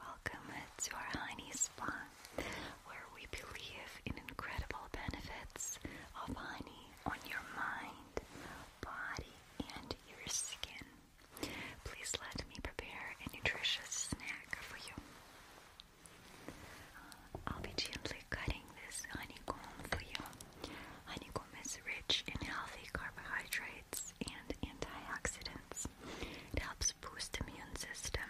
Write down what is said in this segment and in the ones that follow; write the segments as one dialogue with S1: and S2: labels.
S1: Welcome to our honey spa, where we believe in incredible benefits of honey on your mind, body, and your skin. Please let me prepare a nutritious snack for you. Uh, I'll be gently cutting this honeycomb for you. Honeycomb is rich in healthy carbohydrates and antioxidants. It helps boost immune system.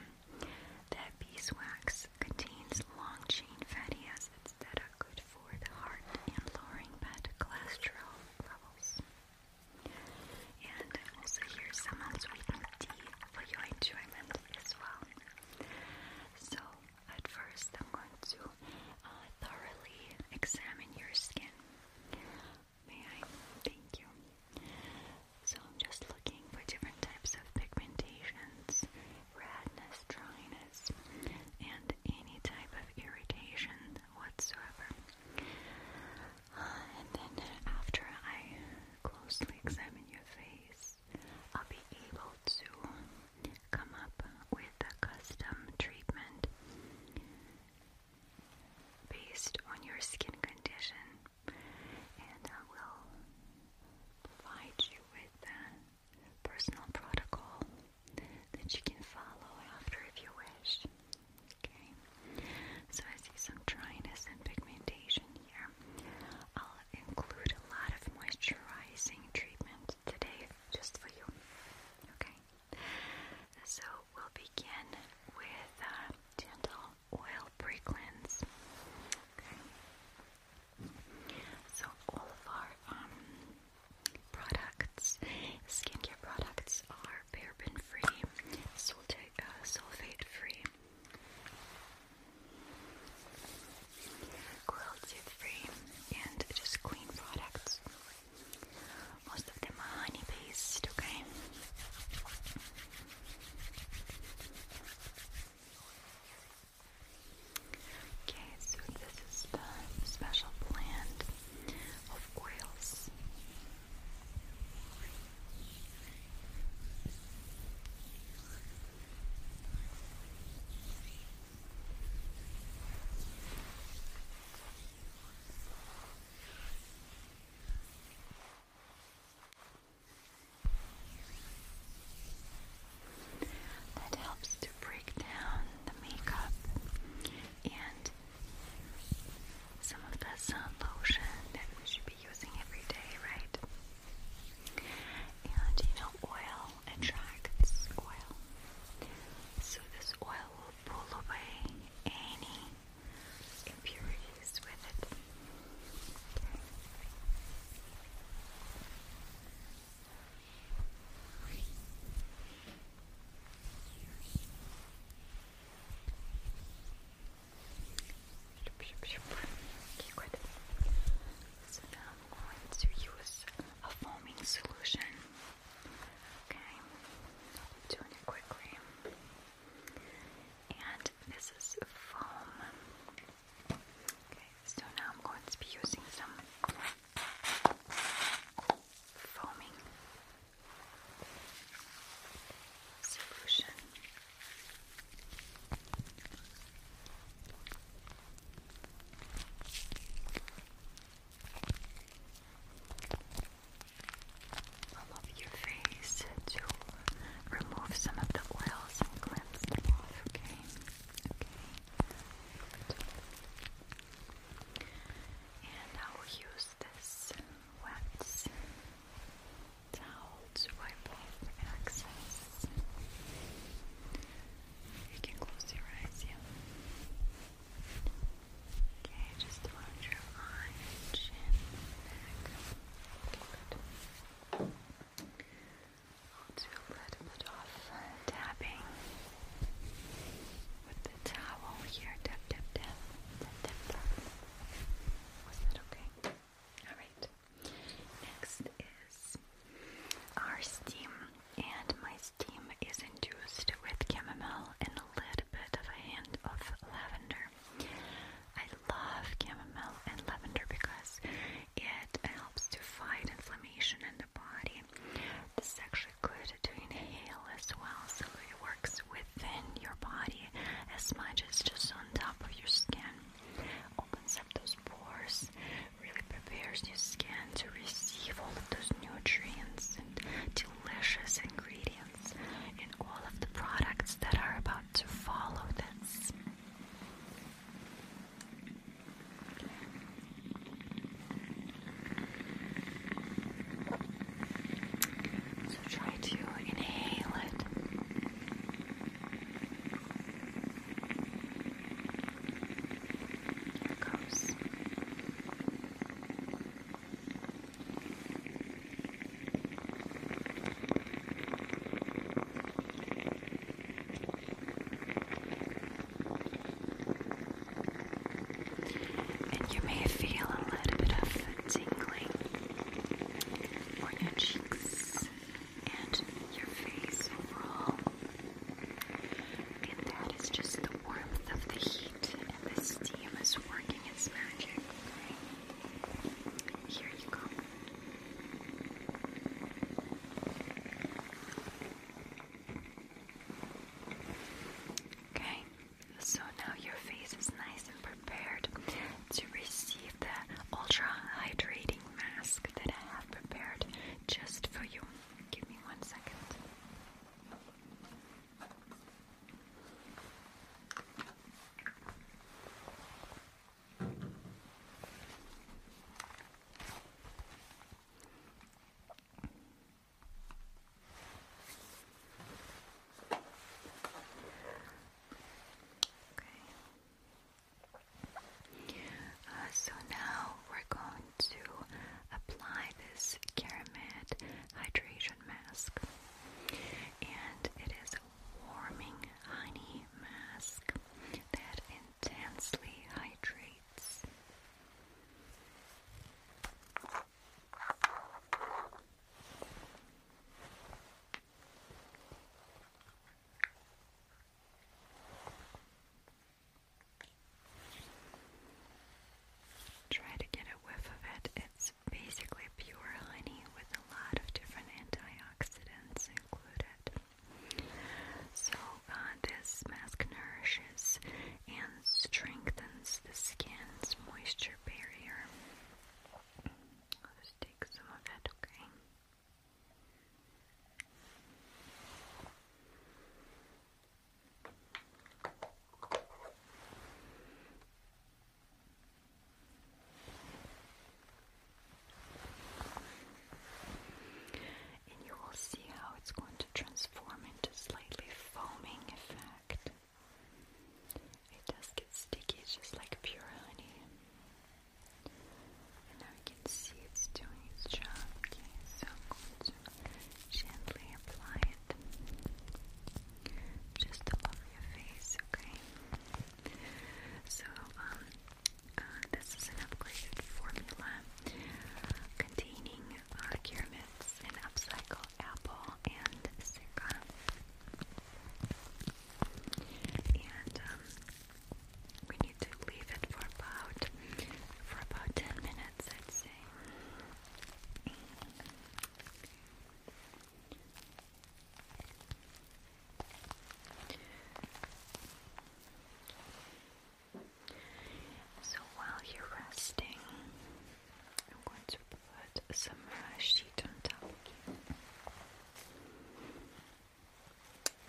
S1: That beeswax contains long-chain fatty acids that are good for the heart and lowering bad cholesterol levels. And also here's some unsweetened tea for your enjoyment as well. So at first I'm going to uh, thoroughly examine your skin. May I? Thank you. So I'm just looking for different types of pigmentations, redness, dryness, and any type of irritation whatsoever. Uh, and then after I closely examine your face, I'll be able to come up with a custom treatment based on your skin condition, and I will provide you with a personal protocol that you can follow after if you wish. Okay, so I see some dryness and pigmentation here. I'll include a lot of moisturizing treatment today just for you. Okay, so we'll begin with a uh, gentle oil pre cleanse. So, all of our um, products, skincare products, are paraben free, uh, sulfate free, cruelty free, and just clean products. Most of them are honey based, okay? Okay, so this is the special blend of oils. That helps to break down the makeup and some of the sun lotion that we should be using every day, right? And you know, oil attracts oil. So this oil will pull away any impurities with it. Okay. So now I'm going to use a foaming solution Okay, doing it quickly. And this is foam. Okay, so now I'm going to be using some foaming solution all over your face to remove some of the oils and cleanse them off, okay? Okay. And I will use this wet towel to wipe off excess. You can close your eyes, yeah. Okay, just around your eye, chin, neck. good. I'll do a little bit of tapping with the towel here. Tap, tap, tap, tap, tap, Was that okay? Alright. Next is our steam, and my steam is induced with chamomile and a little bit of a hint of lavender. I love chamomile and lavender because it helps to fight inflammation in the body. This is actually good to inhale as well, so it works within your body as much as just on top of your skin. Opens up those pores, really prepares your skin to receive all of those nutrients and delicious ingredients hands in all of the products that are about to follow this. So try to inhale it. Here it goes. And you may feel a little bit of tingling on your cheeks and your face overall. And that is just the warmth of the heat and the steam is working here you go. Okay, so now your face is nice and prepared to receive the ultra hydrating mask that I have prepared just for you. Give me one second. Uh, so now we're going to apply this Keramet hydration mask. And it is a warming honey mask that intensely hydrates. Try to get a whiff of it. It's basically pure honey with a lot of different antioxidants included. So, uh, this mask nourishes and strengthens the skin's moisture barrier. I'll take some of it, Okay, and you will see how it's going to transform into a slightly foaming effect. It does get sticky, just like pure honey. And now you can see it's doing its job. Okay, so I'm going to gently apply just above your face, okay? So, um, uh, this is an upgraded formula containing uh, Kirmitz, an upcycled apple, and Sika. And um, we need to leave it for about for about ten minutes, I'd say. So while you're resting, I'm going to put some uh, sheet on top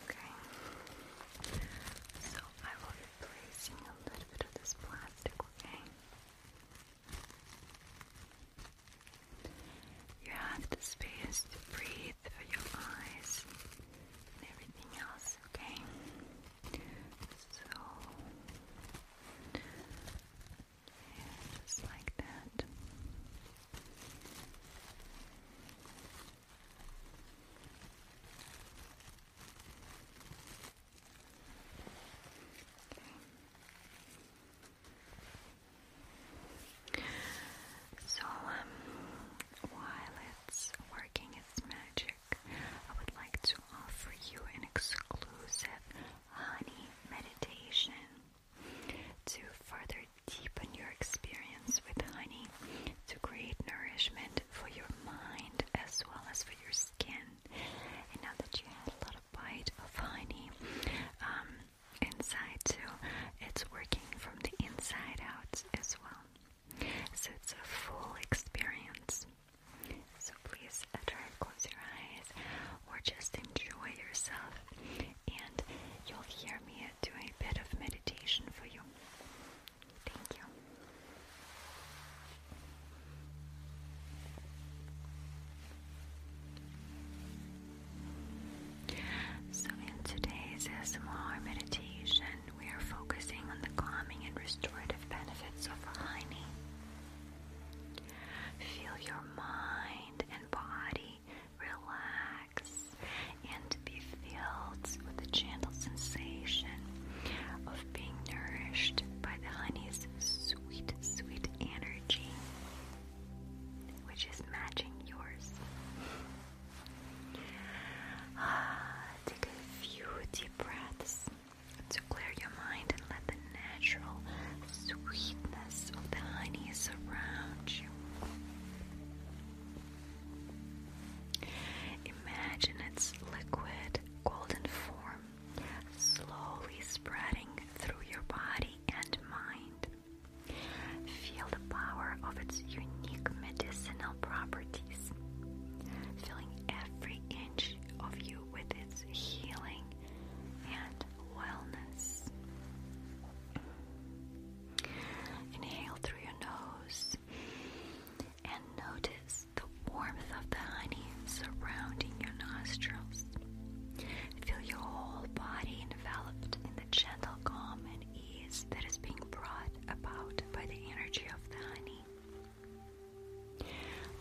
S1: Okay. So I will be placing a little bit of this plastic, okay? You have the space to breathe for your eyes and everything else, okay? So, yeah, like that. So, um, while it's working its magic, I would like to offer you an exclusive honey meditation to further deepen your experience with honey to create nourishment for your mind as well as for your skin. And now that you had a lot of bite of honey um, inside too, it's working from the inside out as well. So it's a full experience. So please try to close your eyes or just enjoy yourself, and you'll hear me do a bit of meditation for you. Thank you. So, in today's small meditation, we are focusing on the calming and restorative benefits of honey. Feel your mind and body relax and be filled with the gentle sensation of being nourished by the honey's sweet, sweet energy, which is matching yours. Ah, take a few deep breaths to clear your mind and let the natural sweetness of the honey surround you. Imagine its liquid golden form slowly spreading through your body and mind. Feel the power of its unique medicinal properties, filling every inch of you with its healing and wellness. Inhale through your nose and notice the warmth of the honey surrounding your nostrils. Feel your whole body enveloped in the gentle calm and ease that is being brought about by the energy of the honey.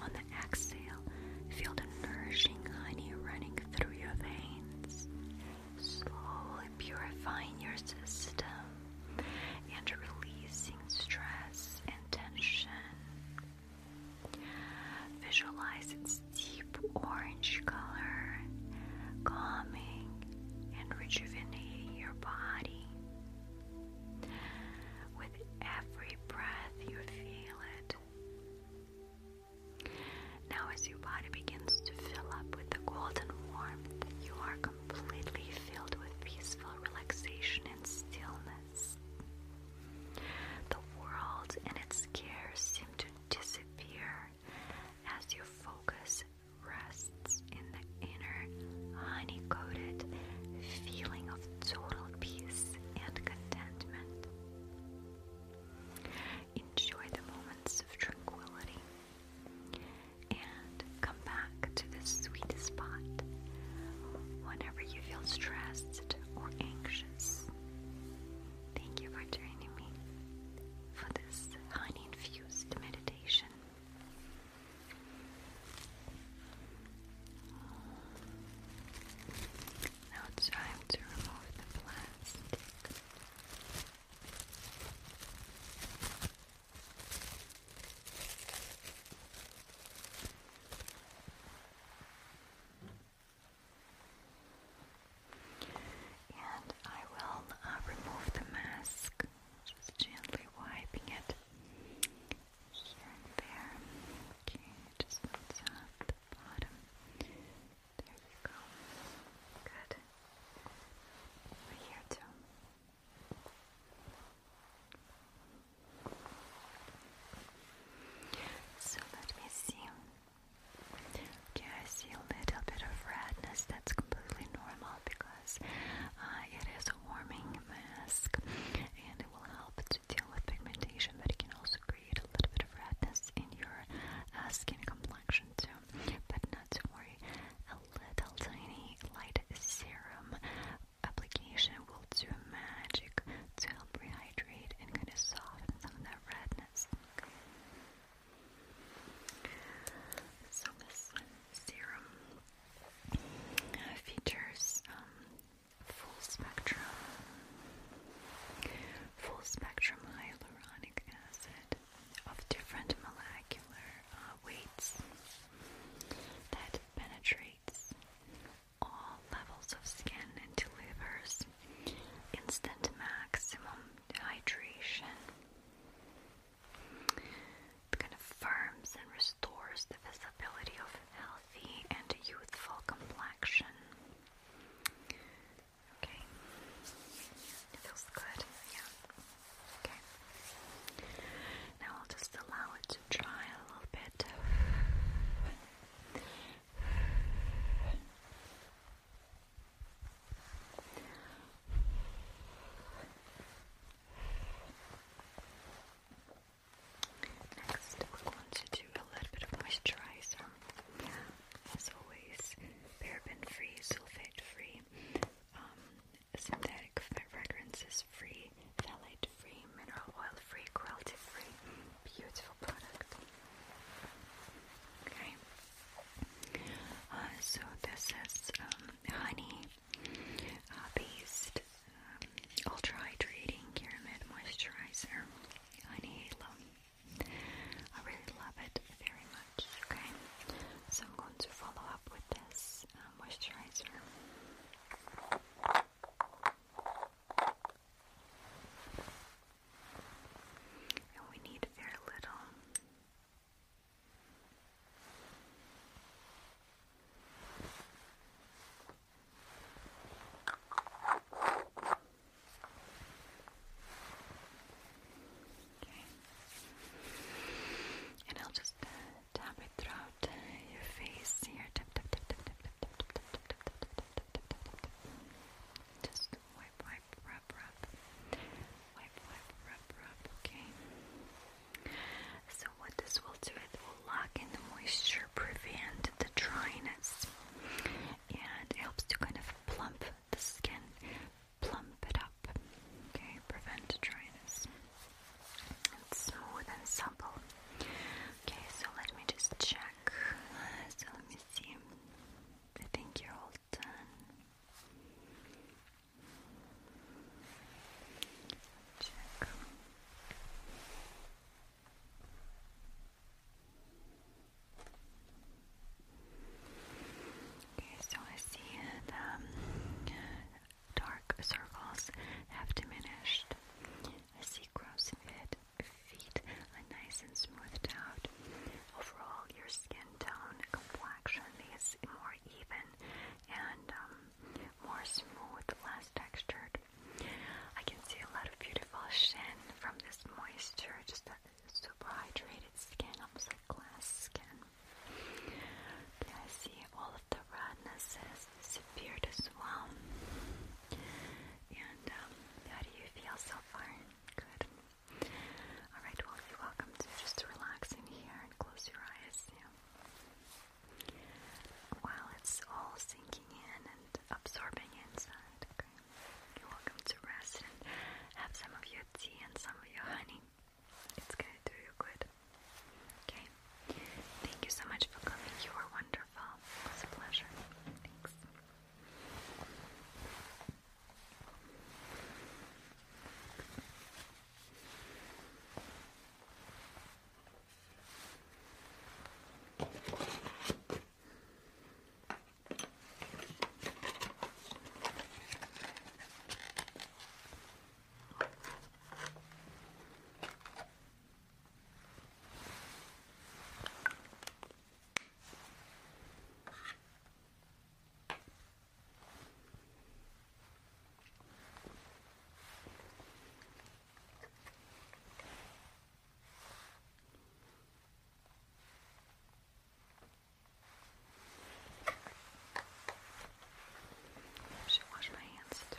S1: On the exhale, feel the nourishing honey running through your veins, slowly purifying your system and releasing stress and tension Visualize its deep orange color, calming and rejuvenating your body. With every breath, you feel it. Now, as your body begins to fill up with the golden warmth, you are completely filled with peaceful relaxation and stillness. The world and its cares seem to disappear as your focus rests in the inner, honey coated feeling of total peace and contentment. Enjoy the moments of tranquility and come back to this sweet spot whenever you feel stressed or anxious. Thank you for joining me for this honey infused meditation. Now it's time to remove the plastic. And I will uh, remove the mask, just gently wiping it here and there. Okay, just the bottom. There you go. Good. Over here too. So let me see. Okay, I see a little bit of redness. That's completely normal because uh, it is a warming mask and it will help to deal with pigmentation, but it can also create a little bit of redness in your uh, skin complexion too. But not to worry, a little tiny light serum application will do magic to help hydrate and kind of soften some of that redness. So this serum uh, features um, full spectrum, full spectrum hyaluronic acid of different molecular uh, weights that penetrates all levels of skin and delivers instant maximum hydration. kind of firms and restores the visibility of healthy and youthful complexion. Okay. feels good, yeah. Okay. Now I'll just allow it to dry a little bit. Next, we're going to do a little bit of moisturizer. As always, paraben-free, sulfate-free, um, synthetic fragrances-free, phthalate free, mineral oil free, cruelty free. Beautiful product. Okay. Uh, so this is um, honey uh, based um, ultra hydrating pyramid moisturizer. Honey halo. I really love it very much. Okay. So I'm going to follow up with this uh, moisturizer. And we need very little. Okay. And I'll just uh, it throughout your face just wipe, wipe, rub, rub. Wipe, wipe, rub, rub, okay. So what this will do, it will lock in the moisture, prevent the dryness, and it helps to kind of plump the skin, plump it up, okay, prevent dryness. It's smooth and supple. Okay, so let me just check. So let me see. I think you're all done. Check. Okay, so I see the um, dark circles have diminished. I see crosses. It feet are nice and smoothed out. Overall, your skin tone, complexion is more even and um, more smooth, less textured. I can see a lot of beautiful shine from this moisture, just a super hydrated skin, almost like glass skin. I see all of the rednesses disappeared as well. And um, how do you feel so far? Good. Alright, well, you're welcome to just relax in here and close your eyes. While it's all sinking in and absorbing inside, You're welcome to rest and have some of your tea and some of your honey. It's going do you good. Okay? Thank you so much for coming. You were wonderful wonderful. It was a pleasure. Thanks. I should wash my hands too.